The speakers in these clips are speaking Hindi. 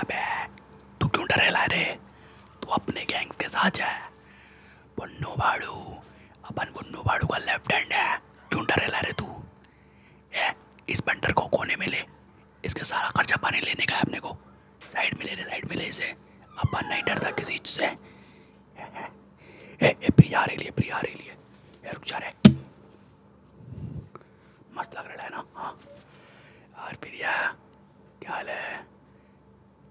अबे तू क्यों डरे ला रे तू अपने गैंग्स के साथ है बुन्नू भाड़ू अपन बुन्नू भाड़ू का लेफ्ट हैंड है क्यों डरे ला रे तू ए इस बंडर को कोने में ले इसके सारा खर्चा पानी लेने का है अपने को साइड में ले ले साइड में ले इसे अपन नहीं डरता किसी चीज से ए ए प्रिया आ लिए प्रिया आ रही लिए रुक जा रहे मस्त लग रहा है ना हाँ और प्रिया क्या हाल है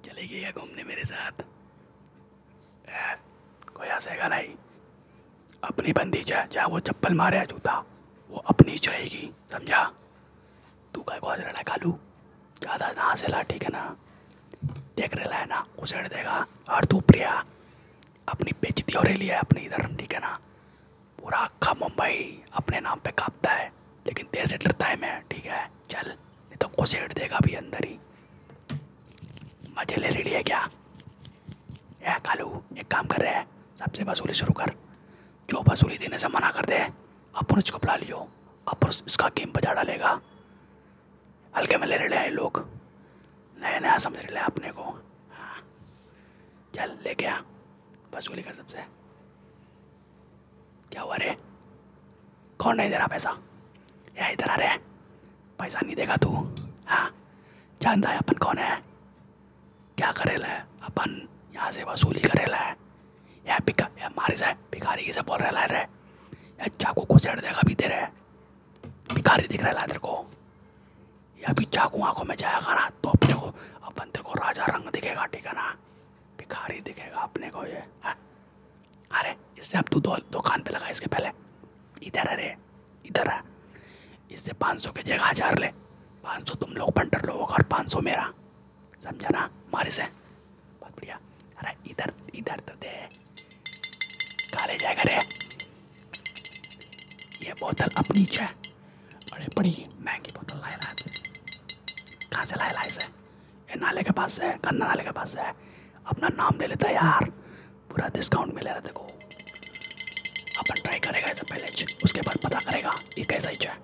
चलेगी या घूमने मेरे साथ ए, कोई हंसेगा नहीं अपनी बंदी है चाहे वो चप्पल मारे या जूता वो अपनी चलेगी समझा तू का हंस रहा है कालू ज़्यादा ना हंसे ला ठीक है ना देख रहा है ना उसेड़ देगा और तू प्रिया अपनी बेचती हो रही है अपनी इधर ठीक है ना पूरा अक्खा मुंबई अपने नाम पे कांपता है लेकिन तेरे से डरता है मैं ठीक है चल नहीं तो घुसेट देगा अभी अंदर ही मजे ले रेडी है क्या या कालू एक काम कर रहे हैं सबसे वसूली शुरू कर जो वसूली देने से मना कर दे अपन उसको बुला लियो अपन उसका गेम बजा डालेगा हल्के में ले रहे हैं लोग नया नया समझ रहे हैं अपने को हाँ चल ले गया वसूली कर सबसे क्या हुआ रे कौन नहीं दे रहा पैसा या इधर आ रे पैसा नहीं देगा तू हाँ जानता है अपन कौन है क्या करेला है अपन यहाँ से वसूली करेला है या पिका या मारे से भिखारी की बोल रहे रे या चाकू को सेट देगा भी दे रहे भिखारी दिख रहा है तेरे को या भी चाकू आंखों में जाएगा ना तो अपने को अपन तेरे को राजा रंग दिखेगा ठीक है ना भिखारी दिखेगा अपने को ये हाँ। अरे इससे अब तू दुकान पे लगा इसके पहले इधर अरे इधर है इससे पाँच सौ के जगह हजार ले पाँच सौ तुम लोग पंटर लोगों का और पाँच सौ मेरा समझा ना मारे से बहुत बढ़िया अरे इधर इधर तो दे काले जाएगा रे ये बोतल अपनी है और बड़ी महंगी बोतल लाए लाए थे कहाँ से लाए लाए से ये नाले के पास से गन्ना नाले के पास से अपना नाम ले लेता है यार पूरा डिस्काउंट मिले रहा देखो अपन ट्राई करेगा ऐसा पहले उसके बाद पता करेगा ये कैसा ही है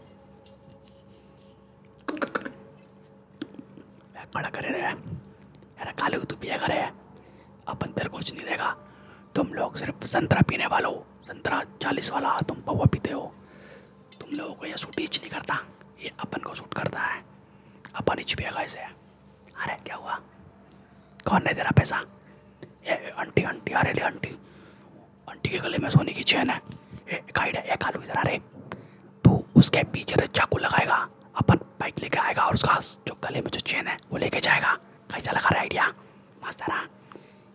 खड़ा करे रहे यार खाली तू पिया करे अपन तेरे कुछ नहीं देगा तुम लोग सिर्फ संतरा पीने वाले हो संतरा चालीस वाला तुम पौवा पीते हो तुम लोगों को यह सूट ईच नहीं करता ये अपन को सूट करता है अपन इच पिएगा इसे अरे क्या हुआ कौन नहीं दे रहा पैसा ये आंटी आंटी अरे ले आंटी आंटी के गले में सोने की चैन है ए गाइड है एक आलू इधर अरे तू उसके पीछे से चाकू लगाएगा अपन बाइक लेके आएगा और उसका जो गले में जो चैन है वो लेके जाएगा कैसा लगा रहा आइडिया मस्त है ना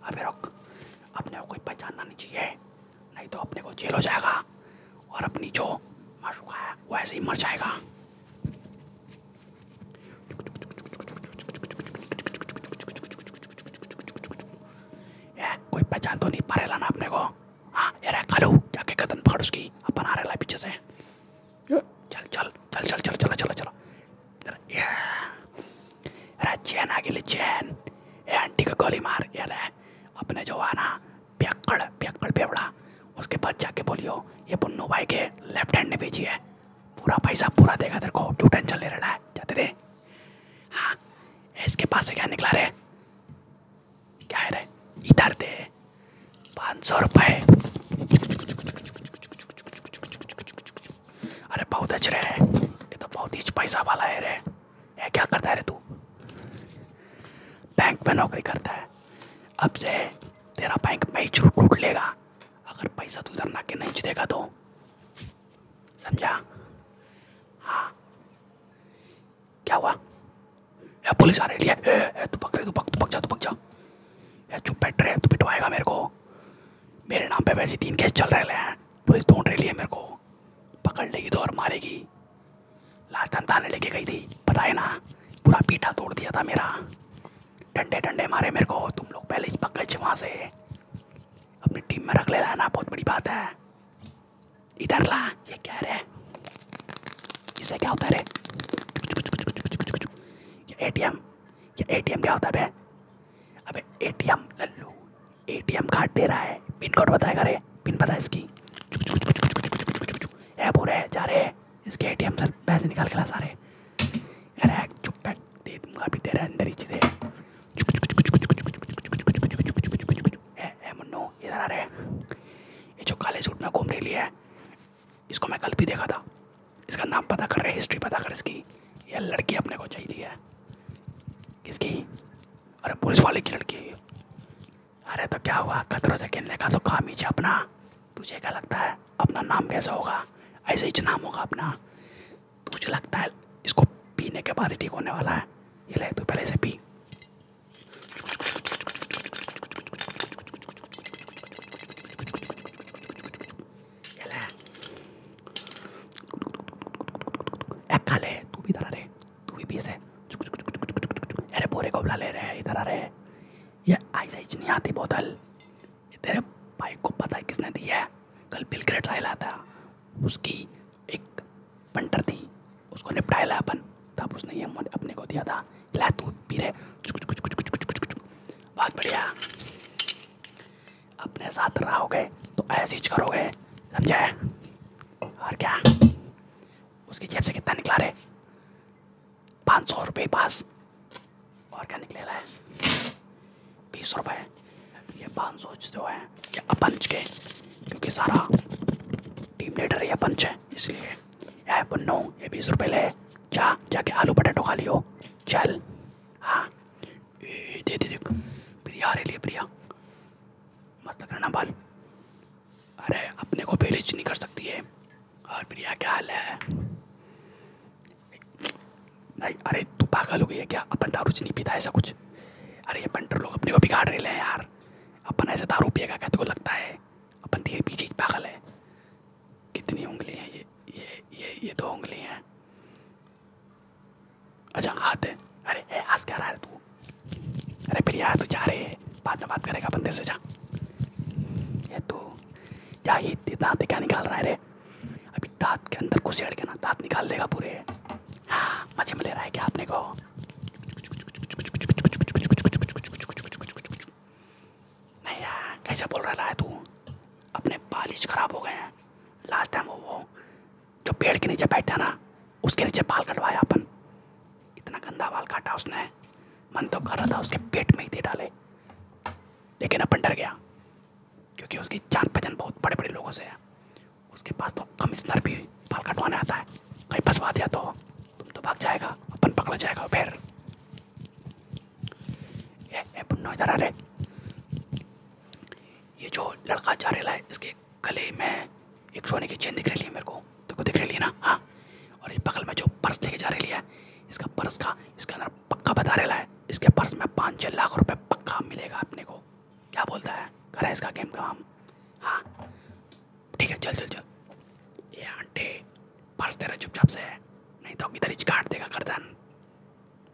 अभी रुक अपने को कोई पहचानना नहीं चाहिए नहीं तो अपने को जेल हो जाएगा और अपनी जो माशूका है वो ऐसे ही मर जाएगा कोई पहचान तो नहीं पा रहे ना अपने को हाँ यार खा लो जाके कदम पकड़ उसकी अपन आ रहे पीछे से चल चल चल चल चल चला चला चला अरे आगे ले चैन ए आंटी का गोली मार यार अपने जो आना प्यक्कड़ प्यक्कड़ पेवड़ा उसके बाद जाके बोलियो ये पुन्नू भाई के लेफ्ट हैंड ने भेजी है पूरा पैसा पूरा देगा तेरे को क्यों टेंशन ले रहा है जाते थे हाँ इसके पास से क्या निकला रे क्या है रे इधर दे पाँच सौ रुपये अरे बहुत अच्छे रहे ये तो बहुत ही पैसा वाला है रे ये क्या करता है रे तू बैंक में नौकरी करता है अब से तेरा बैंक में ही टूट लेगा अगर पैसा तू इधर ना के नहीं देगा तो समझा हाँ क्या हुआ ए, पुलिस आ रही है ए, ए, तू पकड़े तू पक तू पक जा तू पक जा या चुप बैठ रहे तो पिटवाएगा मेरे को मेरे नाम पे वैसे तीन केस चल रहे हैं पुलिस ढूंढ रही है मेरे को पकड़ लेगी तो और मारेगी लास्ट टाइम थाने लेके गई थी पता है ना पूरा पीठा तोड़ दिया था मेरा डंडे डंडे मारे मेरे को तुम लोग पहले ही पक गए वहाँ से अपनी टीम में रख ले ना बहुत बड़ी बात है इधर ला ये कह रहे इससे क्या होता है ये एटीएम ये एटीएम क्या होता है अबे एटीएम लल्लू एटीएम कार्ड दे रहा है पिन कोड बताएगा रे पिन पता है इसकी है बुरे जा रहे इसके एटीएम सर पैसे निकाल के ला सारे अरे चुप बैठ दे दूंगा अभी तेरा अंदर ही चीज़ें ये जो काले सूट में घूम रही है इसको मैं कल भी देखा था इसका नाम पता कर रहे हिस्ट्री पता कर इसकी यह लड़की अपने को चाहिए है किसकी अरे पुलिस वाले की लड़की अरे तो क्या हुआ खतरों से खेलने का तो काम ही अपना तुझे क्या लगता है अपना नाम कैसा होगा ऐसे ही नाम होगा अपना तुझे लगता है इसको पीने के बाद ही ठीक होने वाला है ये ले तू पहले से पी एक खा ले तू भी इधर आ रहे तू भी पीस है अरे पूरे कोबला ले रहे हैं इधर आ रहे ये आइस आइज नहीं आती बोतल ये तेरे भाई को पता है किसने दी है कल बिलग्रेट साहिल आता उसकी एक पंटर थी उसको निपटाया अपन तब उसने ये मन अपने को दिया था ला तू पी रहे बहुत बढ़िया अपने साथ रहोगे तो ऐसी करोगे समझे और क्या उसकी जेब से कितना निकला रहे पाँच सौ रुपये पास और क्या निकले है बीस रुपये ये पाँच सौ जो है ये अपंच के क्योंकि सारा टीम लीडर ये पंच है इसलिए है पन्नू ये बीस रुपए ले जा जाके आलू पटेटो खा लियो चल हाँ दे दे दे प्रिया आ रही प्रिया मस्त करना बाल अरे अपने को विलेज नहीं कर सकती है और प्रिया क्या हाल है नहीं अरे तू पागल हो गई है क्या अपन दारू नहीं पीता ऐसा कुछ अरे ये पंटर लोग अपने को बिगाड़ रहे हैं यार अपन ऐसे दारू पिएगा क्या तुझको लगता है अपन तो ये भी चीज़ पागल है कितनी उंगली है ये ये ये ये दो उंगली हैं अच्छा हाथ है अरे ए, हाथ क्या रहा है तू अरे फिर यार तू जा रहे है बाद में बात करेगा अपन देर से जा ये तो या ही दाँत क्या निकाल रहा है रे अभी दांत के अंदर घुसेड़ के ना दाँत निकाल देगा पूरे हाँ मजे में ले रहा है क्या आपने को नहीं यार कैसे बोल रहा है तू अपने बालिश खराब हो गए हैं लास्ट टाइम वो वो जो पेड़ के नीचे बैठा ना उसके नीचे बाल कटवाया अपन इतना गंदा बाल काटा उसने मन तो कर रहा था उसके पेट में ही दे डाले लेकिन अपन डर गया क्योंकि उसकी जान पहचान बहुत बड़े बड़े लोगों से है उसके पास तो कमिश्नर भी बाल कटवाने आता है कहीं फंसवा दिया तो तो भाग जाएगा अपन पकड़ा जाएगा फिर ए ए ये जो लड़का जा रहा है इसके गले में एक सोने की चेन दिख रही है मेरे को तो को दिख रही है ना हाँ और ये बगल में जो पर्स लेके जा रही है इसका पर्स का इसके अंदर पक्का बता रहा है इसके पर्स में पाँच छः लाख रुपए पक्का मिलेगा अपने को क्या बोलता है करें इसका गेम का हम हाँ ठीक है चल चल चल ये आंटे पर्स तेरा चुपचाप से है नहीं तो इधर ही काट देगा गर्दन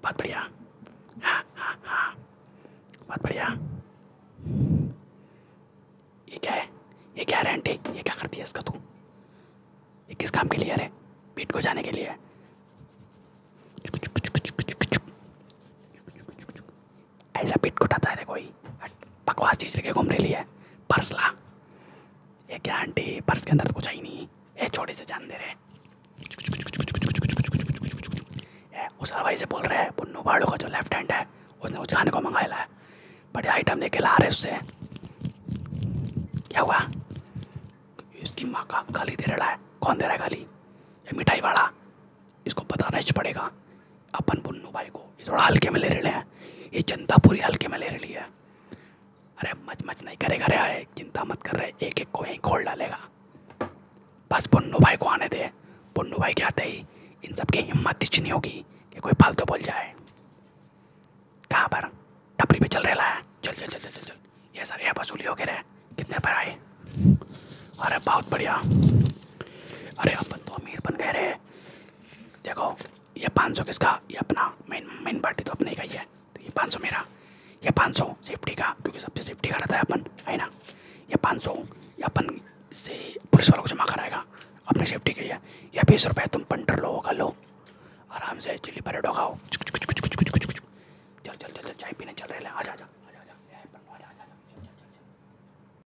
बहुत बढ़िया हाँ हाँ हाँ बहुत बढ़िया ये क्या है ये क्या है आंटी ये क्या करती है इसका तू ये किस काम के लिए अरे पीठ को जाने के लिए ऐसा पिट उठाता है कोई बकवास चीज लेके घूमने लिए पर्स ला ये क्या आंटी पर्स के अंदर तो कुछ आई नहीं ये छोटे से जान दे रहे उस हवाई से बोल रहे हैं पुन्नू बाड़ू का जो लेफ्ट हैंड है उसने कुछ खाने को मंगाया है बड़े आइटम लेके ला रहे उससे क्या हुआ इसकी माँ का गाली दे रहा है कौन दे रहा है गाली ये मिठाई वाला इसको पता ही पड़ेगा अपन बुन्नू भाई को ये थोड़ा हल्के में ले रहे हैं ये चिंता पूरी हल्के में ले रही है अरे मच मच नहीं करेगा रे आए चिंता मत कर रहे एक एक को यहीं खोल डालेगा बस बुन्नू भाई को आने दे बुन्नू भाई के आते ही इन सब की हिम्मत इचनी होगी कि कोई फालतू बोल जाए कहाँ पर टपरी पे चल रहे लाया चल चल चल चल चल चल ये सर ये वसूली हो गए कितने पर आए अरे बहुत बढ़िया अरे अपन तो अमीर बन गए रहे देखो ये पाँच सौ किसका ये अपना मेन मेन पार्टी तो अपने का ही है तो ये पाँच सौ मेरा ये पाँच सौ सेफ्टी का क्योंकि सबसे सेफ्टी का रहता है अपन है ना ये पाँच सौ ये अपन से पुलिस वालों को जमा कराएगा अपने सेफ्टी के लिए या बीस रुपये तुम पंटर लोगों का लो आराम से चिल्ली परेडो खाओ चल चल चल चल चाय पीने चल रहे